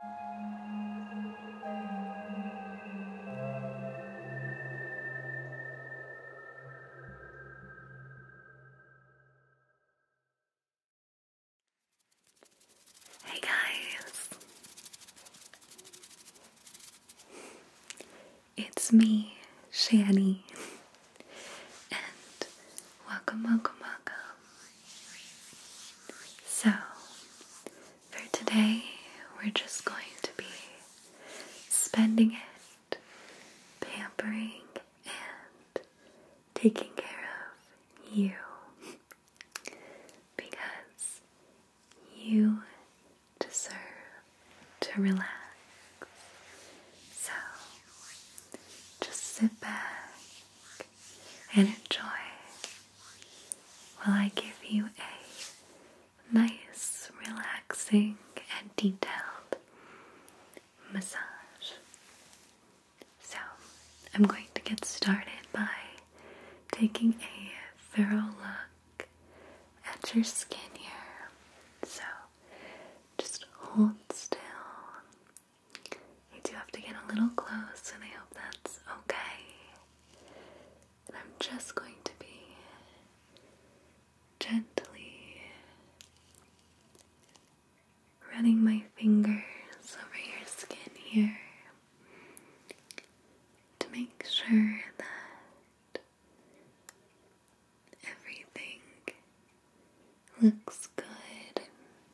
Hey guys, it's me, Shani, and welcome, welcome, welcome so, for today, we're just going to be spending it pampering and taking care of you because you deserve to relax. So, just sit back and enjoy while I give you a nice, relaxing, and detailed massage. So, I'm going to get started by taking a thorough look at your skin here. So, just hold still you do have to get a little close, and I hope that's okay. I'm just going to be gently running my fingers over your skin here to make sure that everything looks good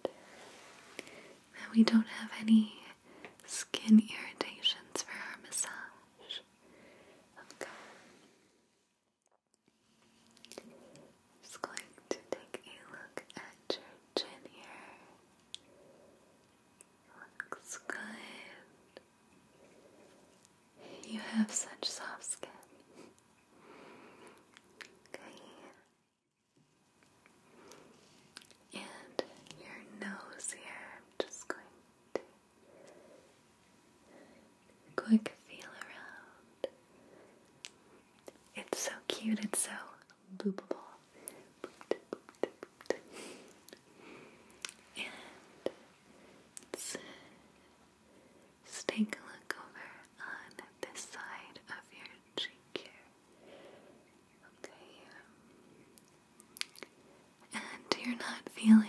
and that we don't have any skin irritations for our massage. Okay. Just going to take a look at your chin here. Looks good. You have such soft skin. Okay. And your nose here, I'm just going quick feel around. It's so cute, it's so loopable. And just take a look over on this side of your cheek here. Okay. And you're not feeling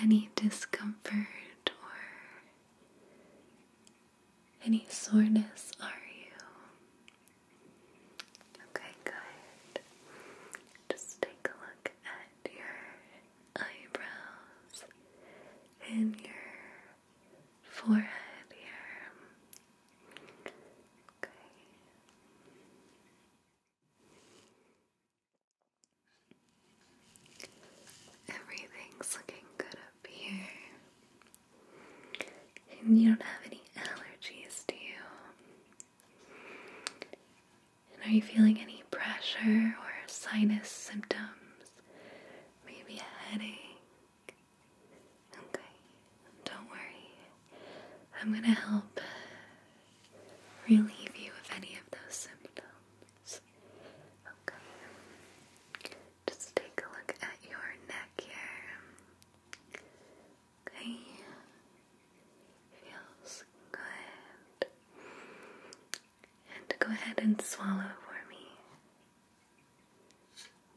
any discomfort or any soreness, are you? Okay, good. Just take a look at your eyebrows and your forehead here. Okay. Everything's looking good up here. And you don't have any allergies, do you? And are you feeling any pressure or sinus symptoms? Maybe a headache? Okay, don't worry. I'm going to help relieve you of any of those symptoms. Okay, just take a look at your neck here. Okay, feels good. And go ahead and swallow for me.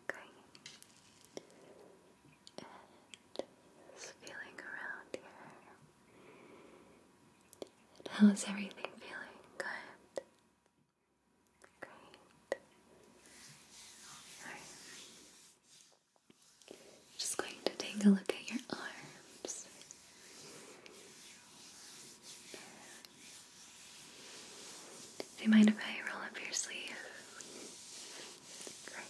Okay. And just feeling around here. how is everything feeling? Good. Great. Just going to take a look at your arms. Do you mind if I roll up your sleeve? Great.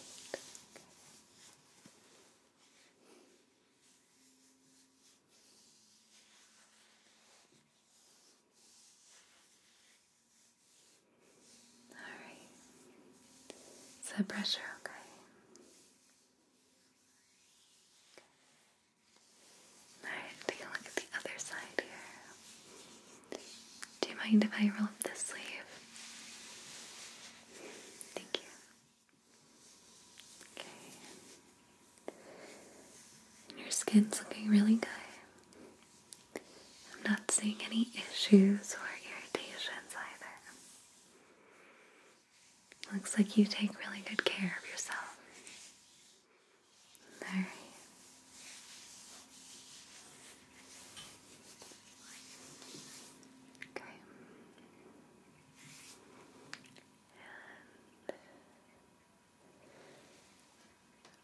All right. Is okay? Alright, take a look at the other side here. Do you mind if I roll up this sleeve? Thank you. Okay. Your skin's looking really good. I'm not seeing any issues or irritations either. Looks like you take really good care of yourself. All right. Okay. And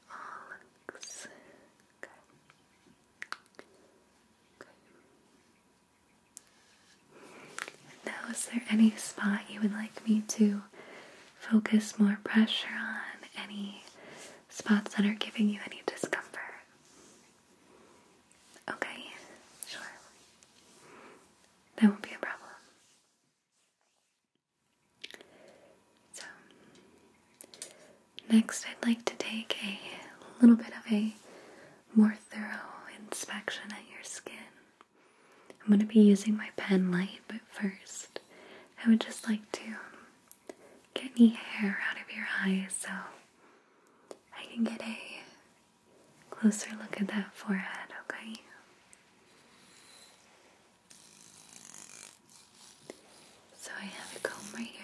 all uh, Okay. now, is there any spot you would like me to focus more pressure on? Any spots that are giving you any discomfort. Okay, sure. That won't be a problem. So, next I'd like to take a little bit of a more thorough inspection at your skin. I'm going to be using my pen light, but first I would just like to get any hair out of your eyes so I can get a closer look at that forehead, okay? So I have a comb right here.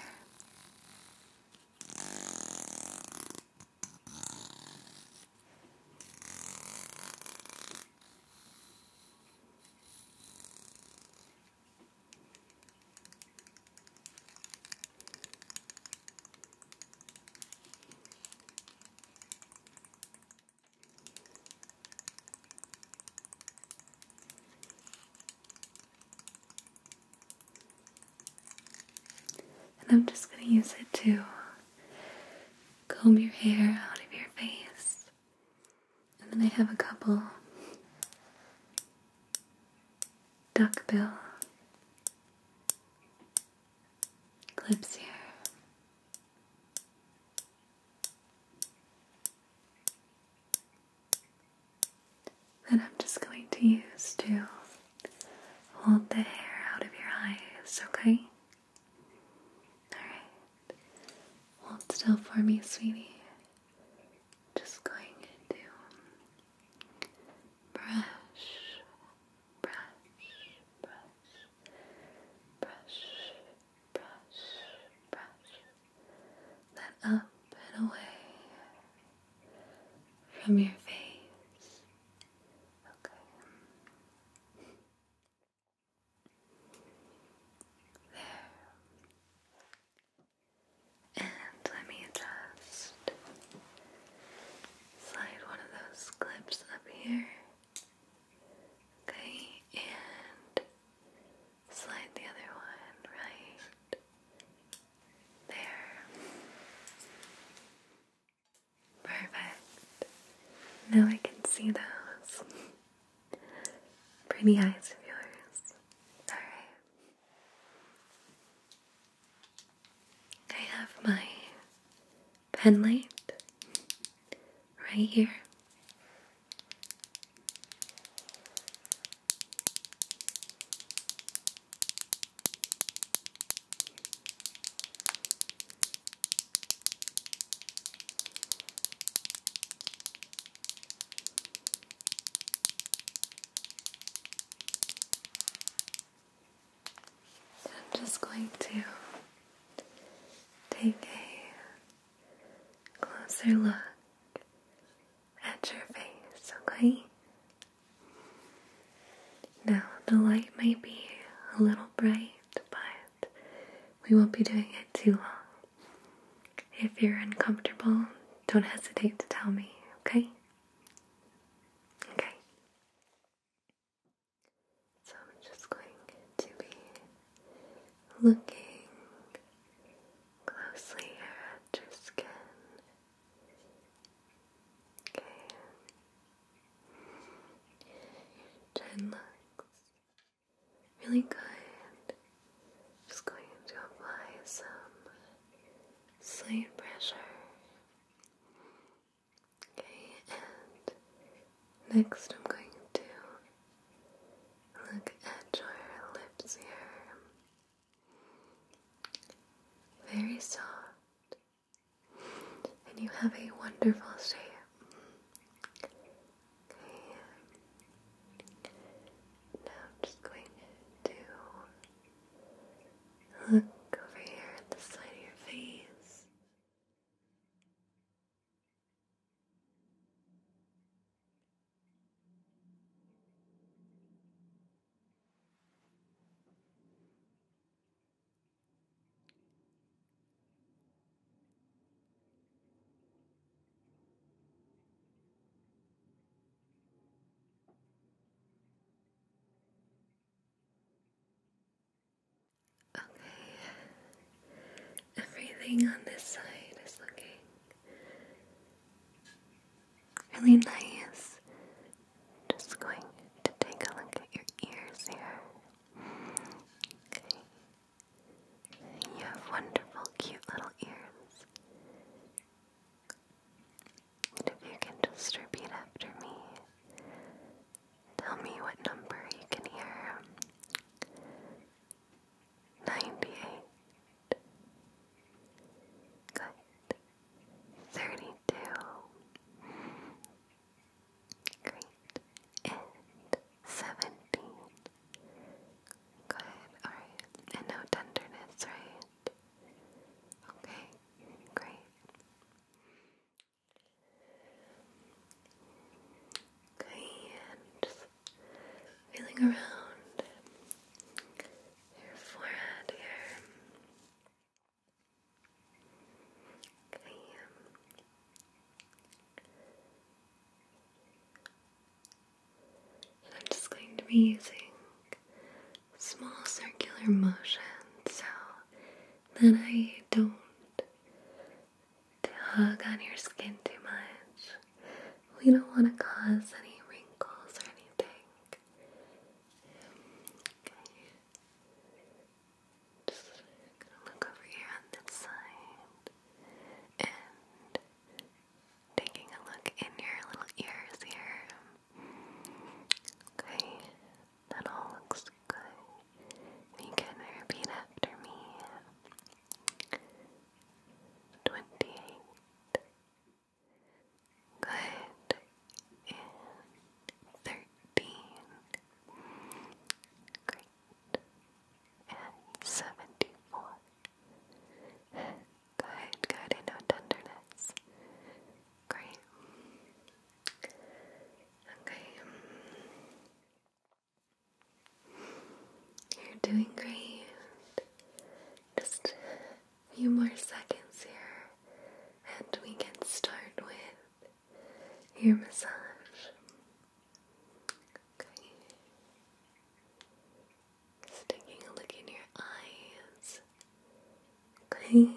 And I'm just going to use it to comb your hair out of your face. And then I have a couple duckbill clips here. That I'm just going to use to hold the hair out of your eyes, okay? Alright. Hold still for me, sweetie. Just going to brush, brush, brush, brush, brush, brush that up and away from your face. Okay. And let me just slide one of those clips up here. Okay, and slide the other one right there. Perfect. Now I can see those. Pretty eyes of yours. Alright. I have my pen right here. I'm just going to take a closer look at your face, okay? Now, the light might be a little bright, but we won't be doing it too long. If you're uncomfortable, don't hesitate to tell me, okay? Okay. So I'm just going to be looking closely at your skin. Okay. chin looks Really good. Just going to apply some slight pressure. Okay, and next I'm going to look at your lips here. Very soft. And you have a wonderful shape. Now I'm just going to look over here at the side of your face. Okay, everything on this side is looking really nice. Just going to take a look at your ears here. Okay, you have wonderful, cute little ears. And if you can just after me, tell me what number you can hear. 98. Good. 32. Great. And 17. Good, alright. And no tenderness, right? Okay, great. Okay, and feeling around your forehead here. Okay. And I'm just going to be using small circular motions so that I don't tug on your skin too much. We don't want to cause any wrinkles or anything. Okay. Just gonna look over here on this side and taking a look in your little ears here. Okay, that all looks good. You can repeat after me. Twenty-eight. Good. And thirteen. Great and seventy-four. Good, good, and no tenderness. Great. Okay. You're doing great. Just a few more seconds here, and we can start with your massage. Okay. Just taking a look in your eyes. Okay.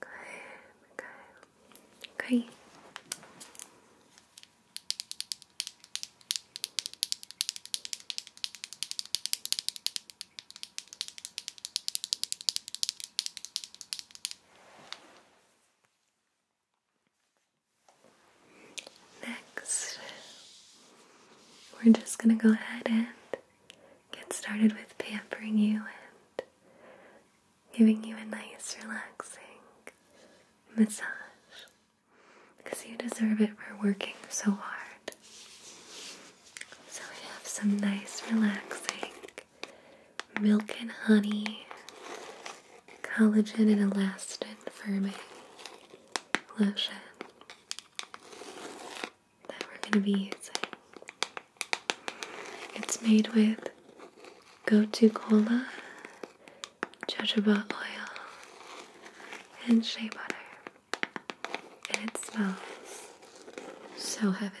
Good. Okay. Okay. Next, we're just going to go ahead and get started with pampering you and giving you a nice, relaxing massage because you deserve it for working so hard. So, we have some nice, relaxing milk and honey, collagen and elastin firming lotion that we're going to be using. It's made with gotu cola, jojoba oil, and shea butter. And it smells so heavenly.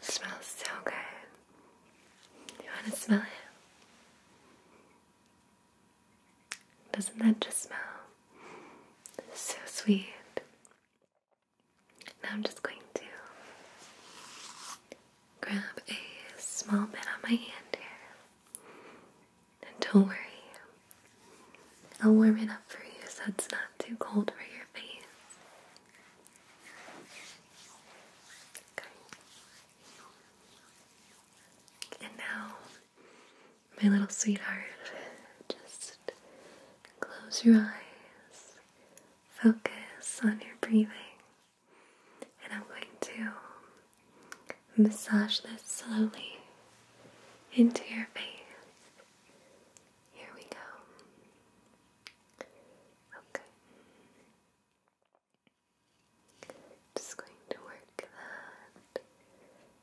smells so good. You want to smell it? Doesn't that just smell so sweet. Now I'm just going to grab a small bit on my hand here. And don't worry, I'll warm it up for you so it's not too cold for your face. Okay. And now my little sweetheart, just close your eyes, focus on your breathing, and I'm going to massage this slowly into your face. Here we go. Okay. Just going to work that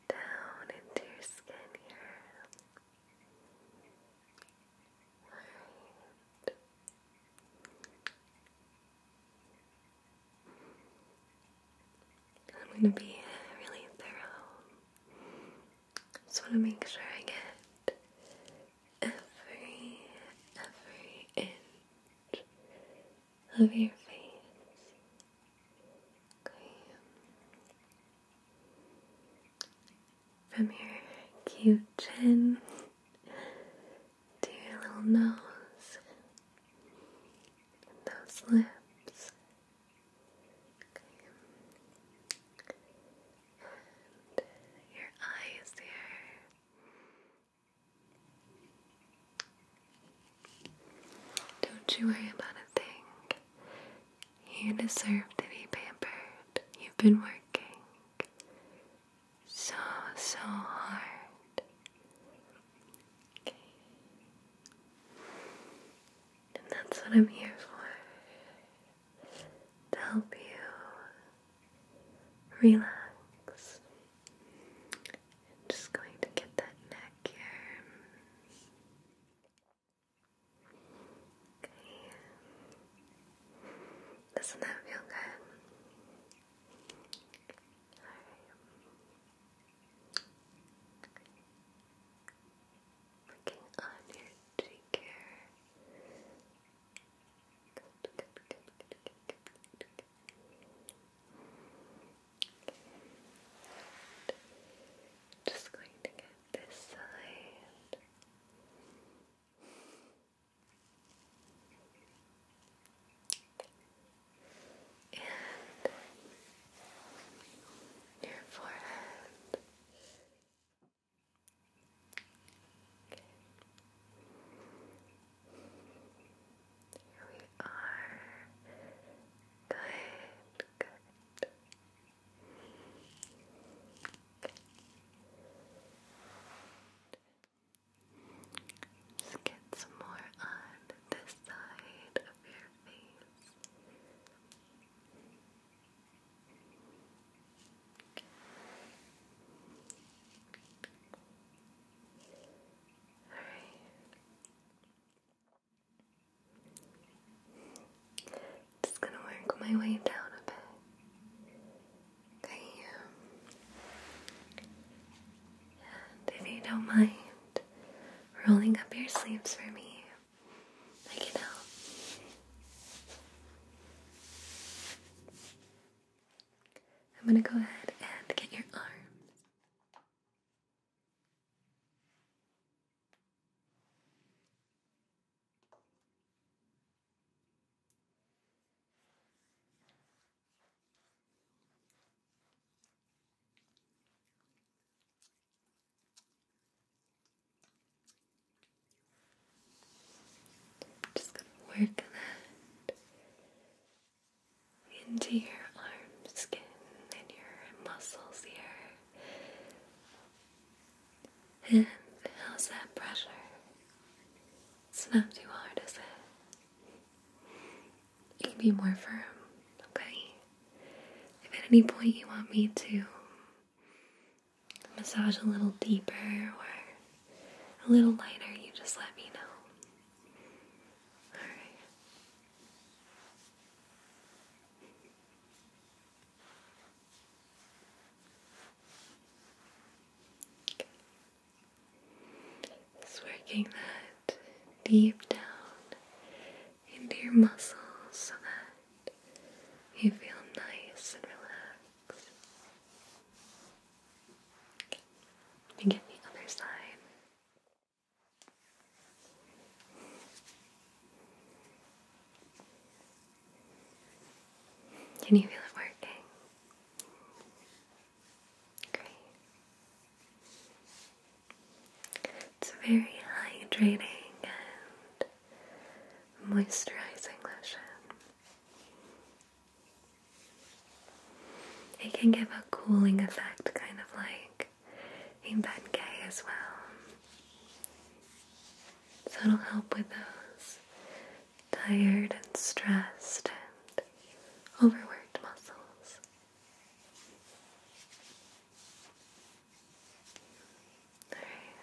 down into your skin here. I'm going to be really thorough. Just want to make sure I get every, every inch of your face. From your cute chin to your little nose those lips. And your eyes there. Don't you worry about a thing. You deserve to be pampered. You've been working so, so hard. And that's what I'm here for to help you relax. just going to get that neck here. Okay. Doesn't that feel good? Working on your cheek here. Good, good, good, good, good, good, good. And just going to get this side. And your forehead. Here we are. Good, good. Just get some more on this side of your face. Alright. Just gonna work my way down a bit. Okay. Um, if you don't mind rolling up your sleeves for me, I can help. I'm gonna go ahead and get your arms. Just gonna work that into your arm skin and your muscles here. And how's that pressure? It's not too hard, is it? You can be more firm, okay? If at any point you want me to massage a little deeper or a little lighter, you just let me know. Alright. Okay. Just working that deep down into your muscles so that you feel nice and relaxed. Okay. Begin the other side. Can you feel it working? Great. It's very hydrating and moisturizing lotion. It can give a cooling effect, kind of like back in Ben gay as well. So it'll help with those tired and stressed and overworked muscles. Alright.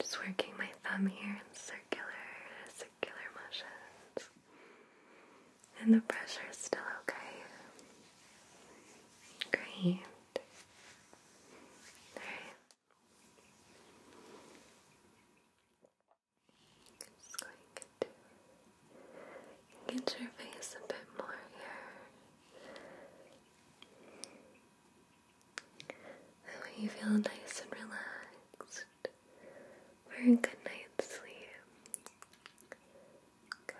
Just working my thumb here in circular, circular motions. And the pressure is still okay. Great. All just going to get your face a bit more here. That way you feel nice and relaxed. For a good night's sleep. Good.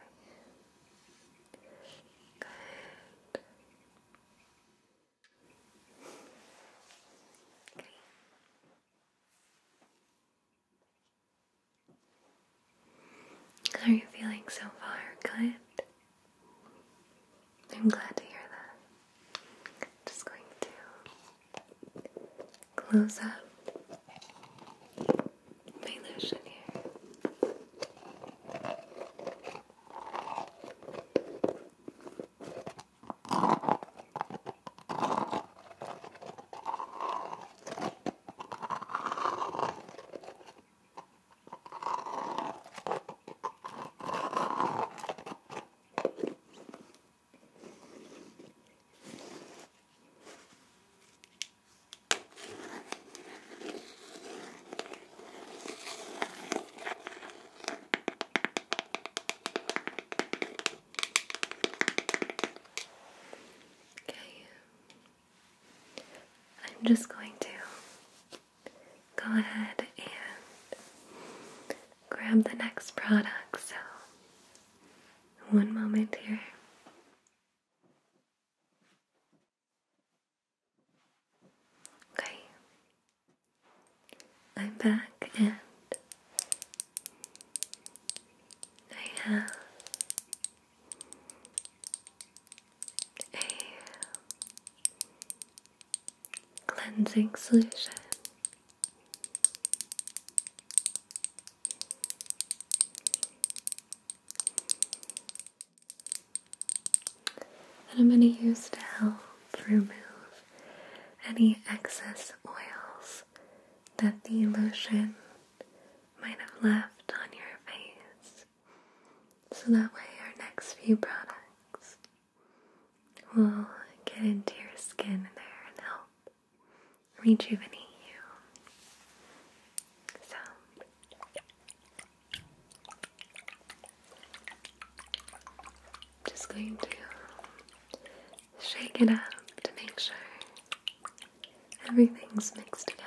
Great. are you feeling so far? Good. I'm glad to hear that. Just going to close up my lotion here. Okay. I'm just going to go ahead and grab the next product. So, one moment here. Okay, I'm back and I have a cleansing solution that I'm going to use to help remove any excess oils that the lotion might have left on your face. So that way, our next few products will get into your skin there and help rejuvenate you. So, just going to shake it up to make sure everything's mixed together.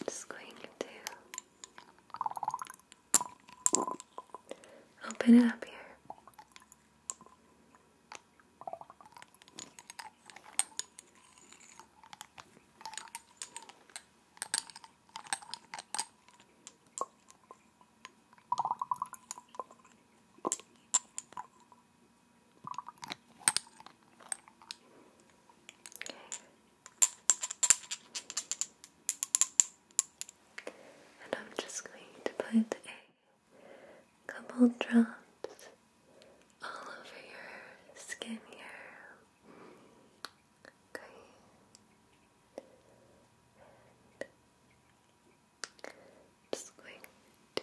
And just going to Open it up here. Okay. And I'm just going to put a couple drops all over your skin here. Okay. just going to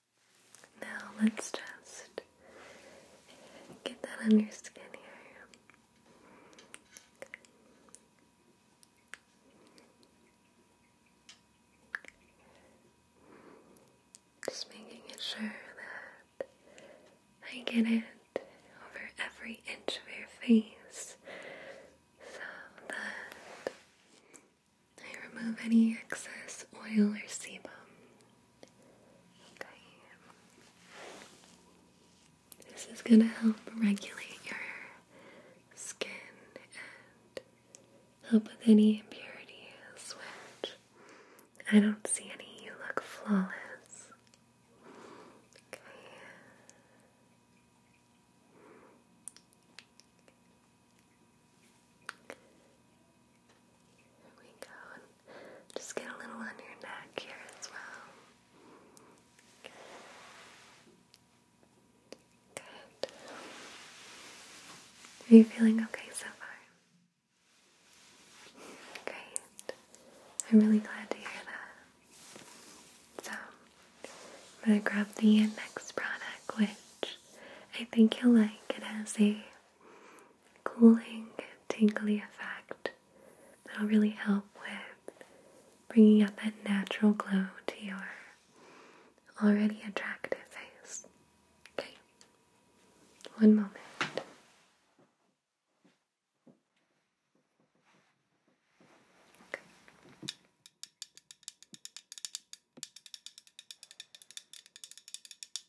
Now let's just get that on your skin here. Just making sure that I get it over every inch of your face so that I remove any excess oil or sebum. This is going to help regulate your skin and help with any impurities, which I don't see any. You look flawless. Okay. Here we go. just get a little on your neck here as well. Good. Are you feeling okay so far? Great. I'm really glad to hear that. So, I'm going to grab the next product, which I think you'll like. It has a cooling, tingly effect that'll really help with bringing out that natural glow to your already attractive face. Okay, one moment.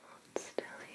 Hold still here.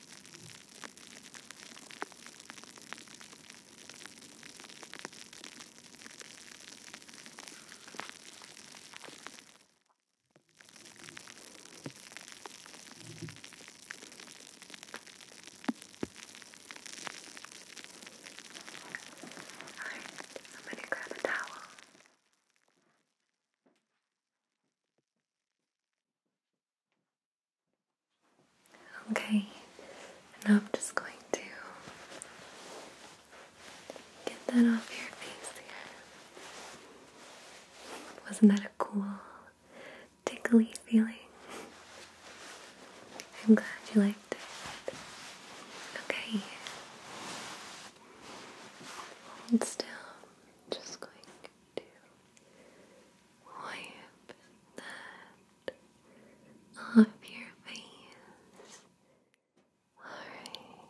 Alright, I'm going to grab a towel. Okay, now I'm just going to get that off your face here. Wasn't that a cool, tickly feeling? I'm glad you liked it. Okay. Hold still. just going to wipe that off your face. Alright.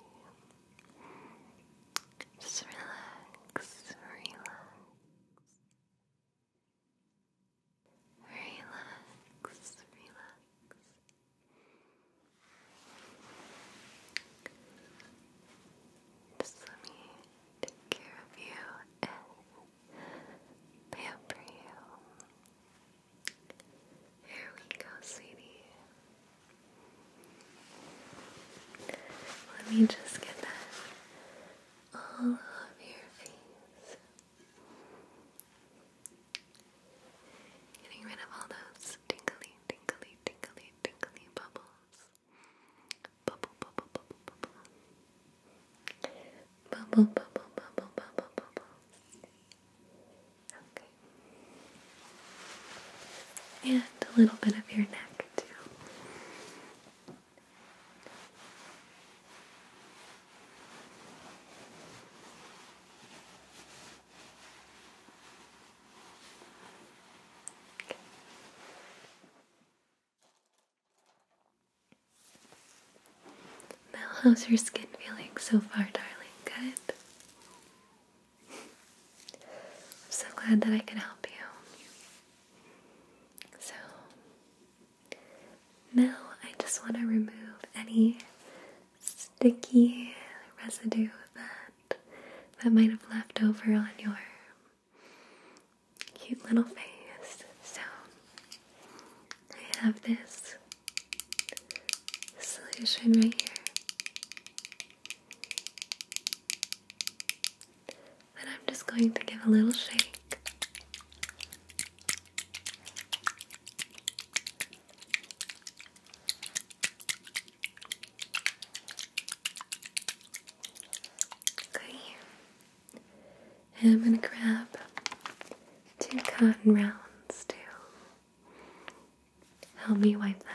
Just relax, relax. Relax, relax. Just let me take care of you and pamper you. Here we go, sweetie. Let me just get that all over your face. Getting rid of all those tingly, tingly, tingly, tingly bubbles. Bubble, bubble, bubble, bubble. Bubble, bubble, bubble, bubble, bubble. Okay. And a little bit of your neck, too. Okay how's your skin feeling so far, darling? Good? I'm so glad that I can help you. So, now I just want to remove any sticky residue that that might have left over on your cute little face. So I have this solution right here and I'm just going to give a little shake. Okay. And I'm going to grab two cotton rounds to help me wipe that off.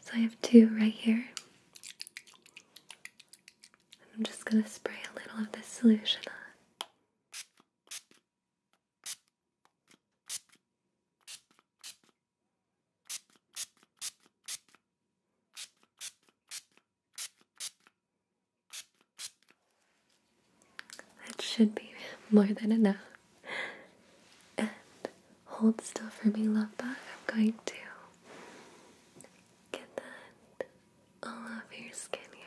So I have two right here. I'm just going to spray a little of this solution on. That should be more than enough. And hold still for me, love bug. I'm going to Get that all over your skin here.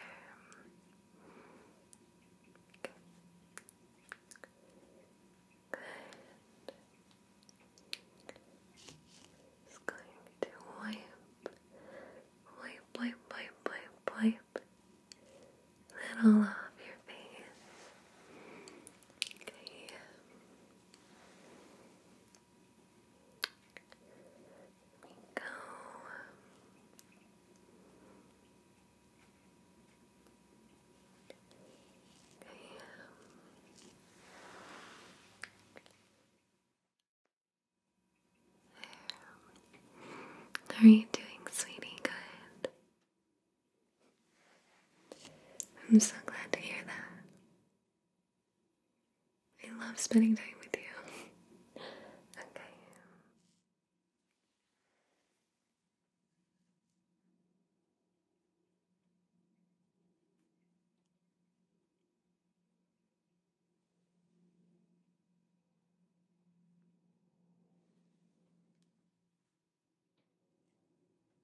Good. Good. going to wipe, wipe, wipe, wipe, wipe, that all off your face. Okay go. Damn. There. are you doing, sweetie? Good. I'm so glad to hear that. I love spending time with you. okay.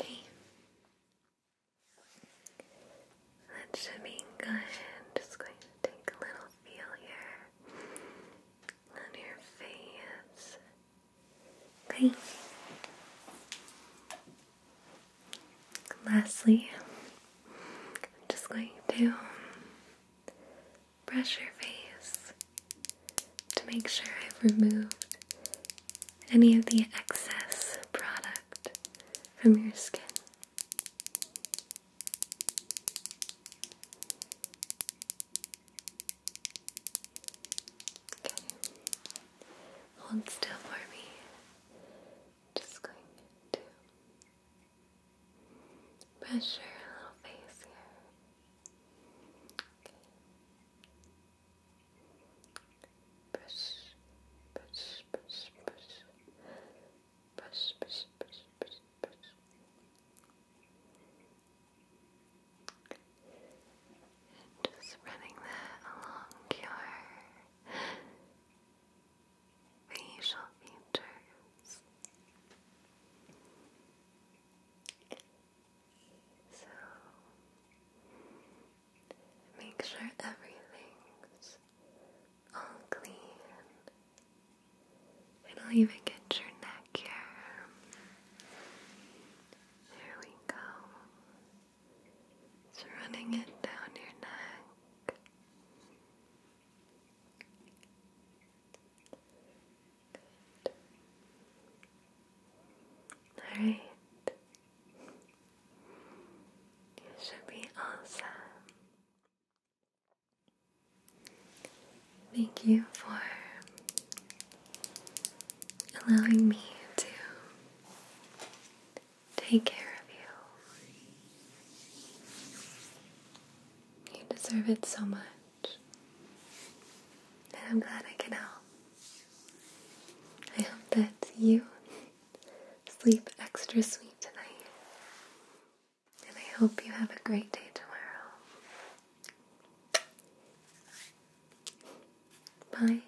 Okay. That should be good. just going to take a little feel here on your face. Okay. Lastly, just going to brush your face to make sure I've removed any of the excess product from your skin. Hold still for me. Just going to pressure a little face here. Press, press, press, press, press, press, press, press, press. And just running that along your facial features. So make sure everything's all clean. It'll even get your neck here. There we go. It's running it down your neck. All right. You should be awesome. Thank you for allowing me to take care of you. You deserve it so much. And I'm glad I can help. I hope that you sleep extra sweet tonight. And I hope you have a great day tomorrow. Bye.